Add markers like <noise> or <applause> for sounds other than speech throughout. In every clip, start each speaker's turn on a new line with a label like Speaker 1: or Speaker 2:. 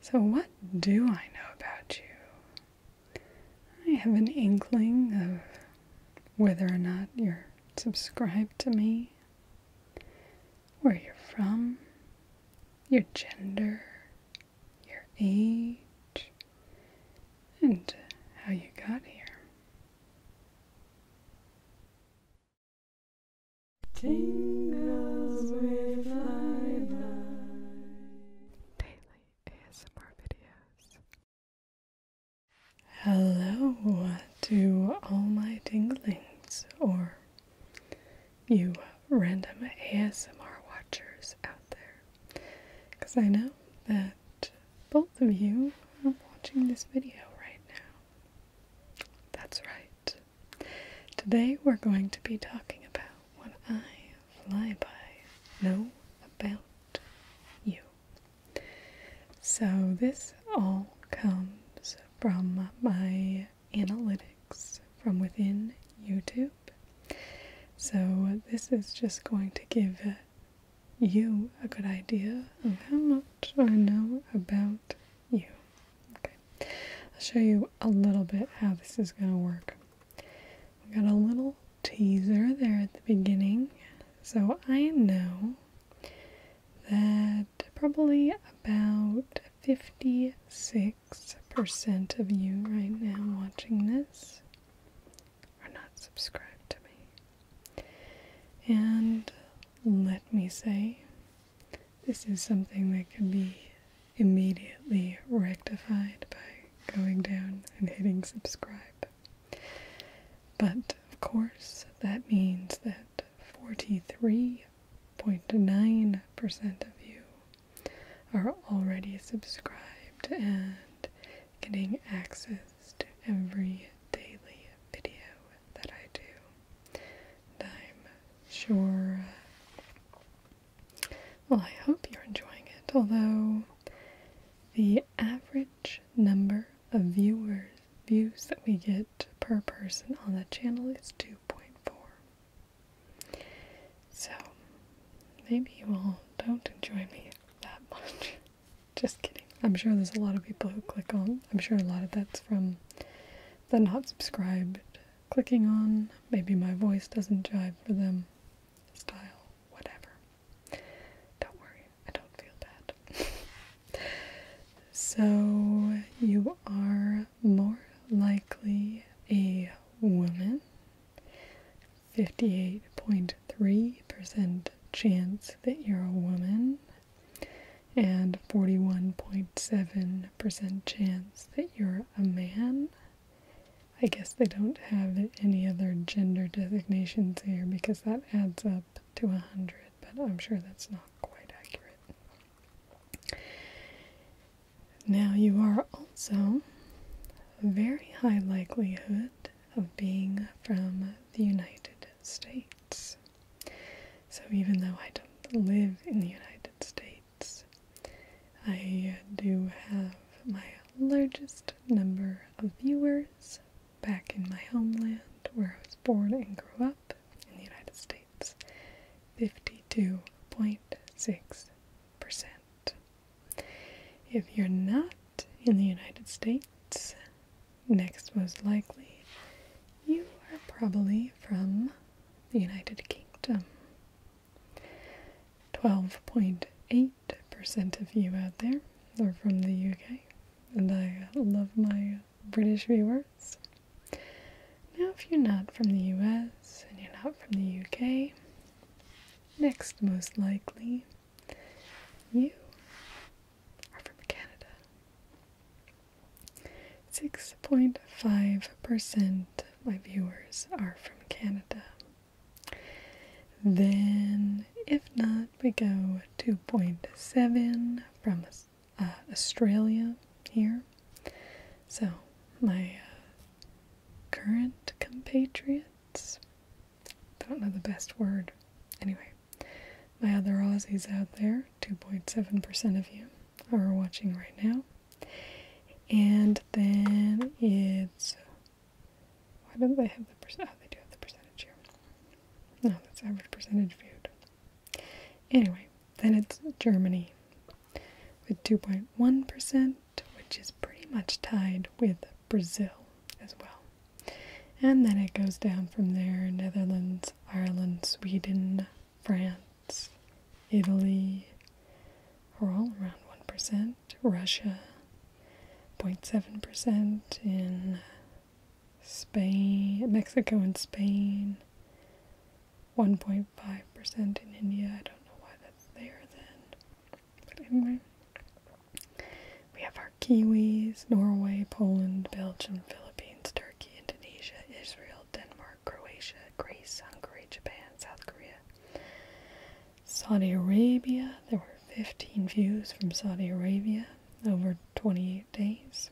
Speaker 1: So, what do I know about you? I have an inkling of whether or not you're subscribed to me, where you're from, your gender, your age, and how you got here. Tingles with Lilac. Daily ASMR videos. Hello to all my tinglings or you random ASMR watchers out there. Because I know that both of you are watching this video right now. That's right today we're going to be talking about what I fly know about you. So this all comes from my analytics from within YouTube. So this is just going to give you a good idea of how much I know about you. Okay, I'll show you a little bit how this is going to work. We got a little teaser there at the beginning, so I know that probably about 56% of you right now watching this are not subscribed to me. And let me say, this is something that could be immediately rectified by going down and hitting subscribe. But of course, that means that 43.9% of you are already subscribed and getting access to every daily video that I do. I'm sure, uh, well, I hope you're enjoying it, although the average number of viewers, views that we get per person on the channel is 2.4. So, maybe you all don't enjoy me that much. <laughs> Just kidding. I'm sure there's a lot of people who click on. I'm sure a lot of that's from the not subscribed clicking on. Maybe my voice doesn't jive for them. Style, whatever. Don't worry, I don't feel bad. <laughs> so, you are more likely a woman. 58.3% chance that you're a woman and 41.7% chance that you're a man. I guess they don't have any other gender designations here because that adds up to 100, but I'm sure that's not quite accurate. Now, you are also very high likelihood of being from the United States. So, even though I don't live in the United States. I do have my largest number of viewers back in my homeland where I was born and grew up in the United States 52.6%. If you're not in the United States, next most likely, you are probably from the United Kingdom. 12.8% of you out there are from the UK, and I love my British viewers. Now, if you're not from the US and you're not from the UK, next most likely, you are from Canada. 6.5% of my viewers are from Canada. Then, if not, we go 2.7 from uh, Australia here. So, my uh, current compatriots, i don't know the best word. Anyway, my other Aussies out there, 2.7% of you are watching right now. And then it's why don't they have the percent? Oh, they do have the percentage here. No, that's average percentage viewed. Anyway, then it's Germany with 2.1%, which is pretty much tied with Brazil as well. And then it goes down from there Netherlands, Ireland, Sweden, France, Italy are all around 1%, Russia 0.7% in Spain, Mexico and Spain, 1.5% in India. I don't know why that's there then. But anyway, we have our Kiwis, Norway, Poland, Belgium, Philippines, Turkey. Indonesia, Israel, Denmark, Croatia, Greece, Hungary, Japan, South Korea, Saudi Arabia. There were 15 views from Saudi Arabia over 28 days.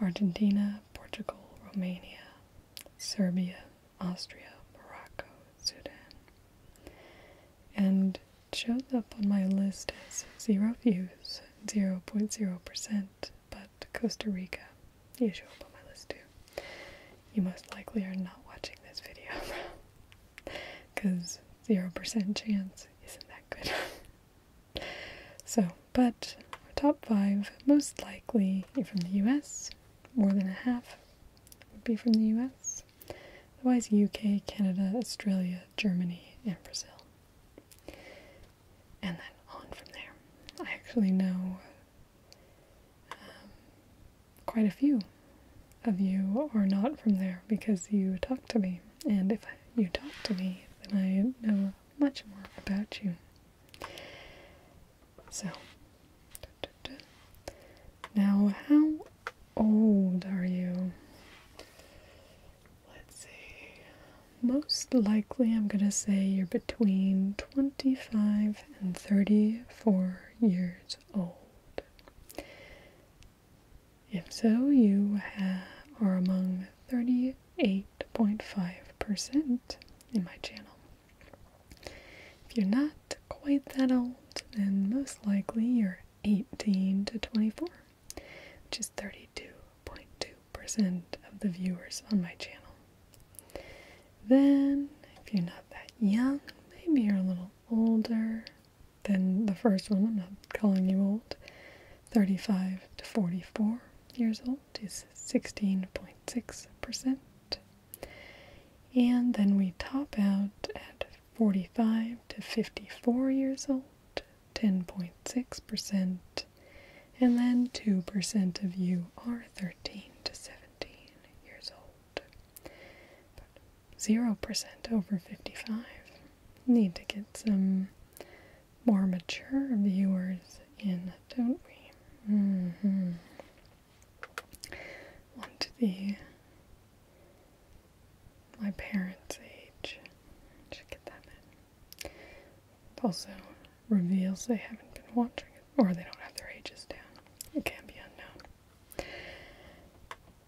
Speaker 1: Argentina, Portugal, Romania, Serbia, Austria, Morocco, Sudan. And shows up on my list as zero views, 0.0% but Costa Rica, you show up on my list too. You most likely are not watching this video because <laughs> 0% chance isn't that good. <laughs> so, but our top five, most likely are from the US, more than a half would be from the US. Otherwise, UK, Canada, Australia, Germany, and Brazil and then on from there. I actually know um, quite a few of you are not from there because you talk to me, and if you talk to me, then I know much more about you. So, now how old are you? Let's see. Most likely, I'm going to say you're between 25 and 34 years old. If so, you are among 38.5% in my channel. If you're not quite that old, then most likely you're 18 to 24 which is 32.2% of the viewers on my channel. Then, if you're not that young, maybe you're a little older than the first one, I'm not calling you old, 35 to 44 years old is 16.6%. And then we top out at 45 to 54 years old, 10.6%, and then 2% of you are 13 to 17 years old. 0% over 55 need to get some more mature viewers in, don't we? Mm -hmm. Want the my parents' age. Should get that in. It also reveals they haven't been watching it, or they don't have their ages down. It can be unknown.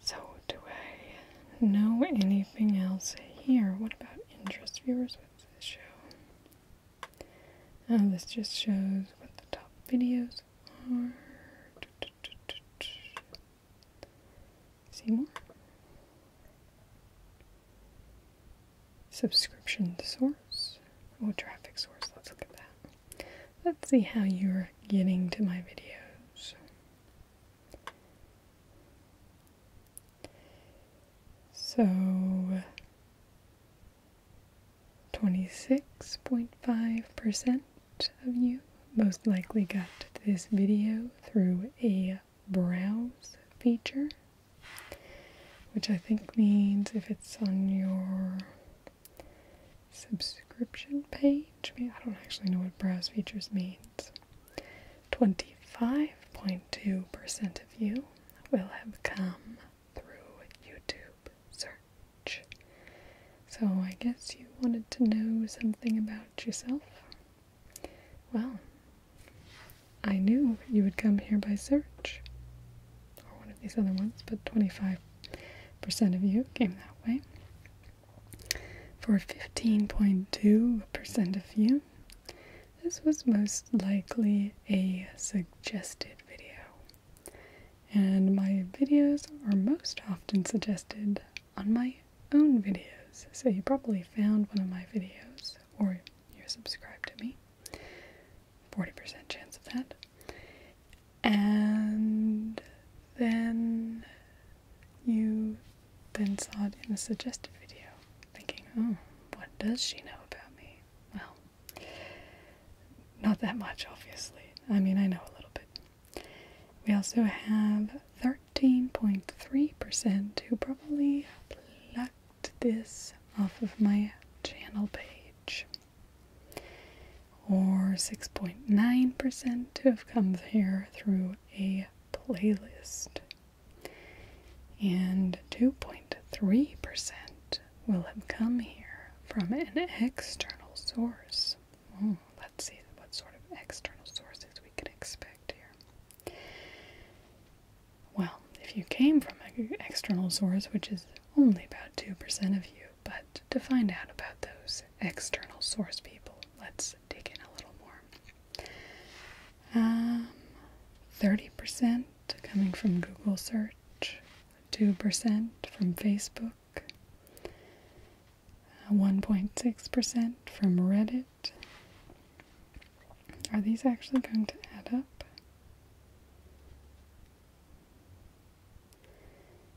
Speaker 1: So, do I know anything else here? What about interest viewers? What's this show? Oh, this just shows what the top videos are. See more Subscription source. Oh, traffic source. Let's look at that. Let's see how you're getting to my videos. So 26.5% of you most likely got this video through a browse feature, which I think means if it's on your subscription page, I, don't actually know what browse features means. 25.2% of you will have come through YouTube search. So I guess you wanted to know something about yourself. Well, I knew you would come here by search, or one of these other ones, but 25% of you came that way. For 15.2% of you, this was most likely a suggested video. And my videos are most often suggested on my own videos. So you probably found one of my videos, or you're subscribed to me. 40% chance of that. And then you then saw it in a suggested video, thinking, oh, what does she know about me? Well, not that much, obviously. I mean, I know a little bit. We also have 13 153 percent who probably plucked this off of my channel page. Or 6.9% to have come here through a playlist. And 2.3% will have come here from an external source. Hmm, let's see what sort of external sources we can expect here. Well, if you came from an external source, which is only about 2% of you, but to find out about those external source people, let's dig in a little more. 30% um, coming from Google search, 2% from Facebook, 1.6% uh, from Reddit, are these actually going to add up?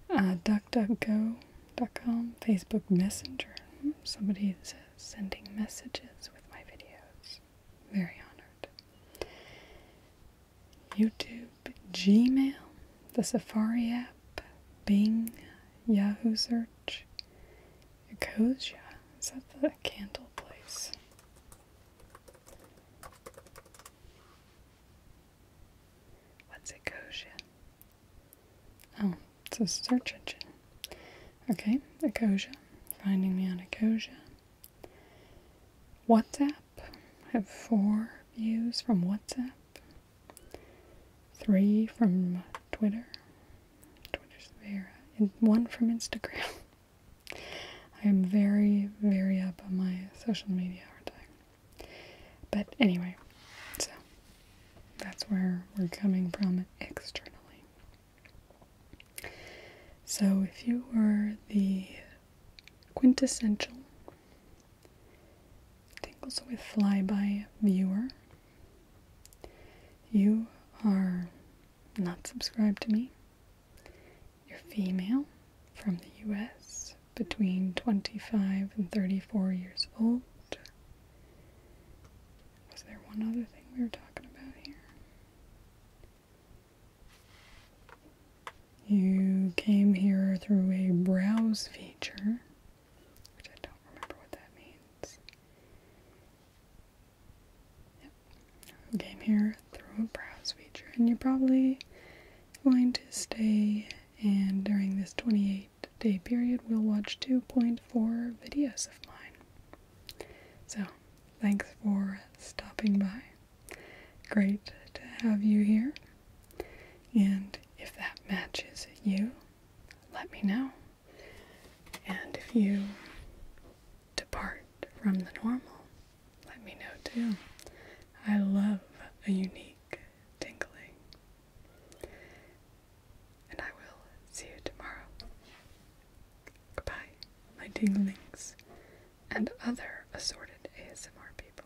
Speaker 1: Uh, DuckDuckGo.com, Facebook Messenger. Somebody is sending messages with my videos. Very honored. YouTube, Gmail, the Safari app, Bing, Yahoo Search, Nicosia? Is that the candle place? What's Nicosia? Oh, it's a search engine. Okay, Nicosia. Finding me on Nicosia. WhatsApp. have four views from WhatsApp three from Twitter. Twitter's there, and one from Instagram. <laughs> I am very, very up on my social media, But anyway, so that's where we're coming from externally. So if you were the quintessential Tingles with Flyby viewer, you are not subscribed to me. You're female from the US between 25 and 34 years old. Was there one other thing we were talking about here? You came here through a browse feature which I don't remember what that means. Yep. Game here through a browse feature, and you're probably going to stay. And during this 28 day period, we'll watch 2.4 videos of mine. So, thanks for stopping by. Great to have you here. And if that matches you, let me know. And if you depart from the normal, let me know too. I love a unique tingling. And I will see you tomorrow. Goodbye, my tinglings and other assorted ASMR people.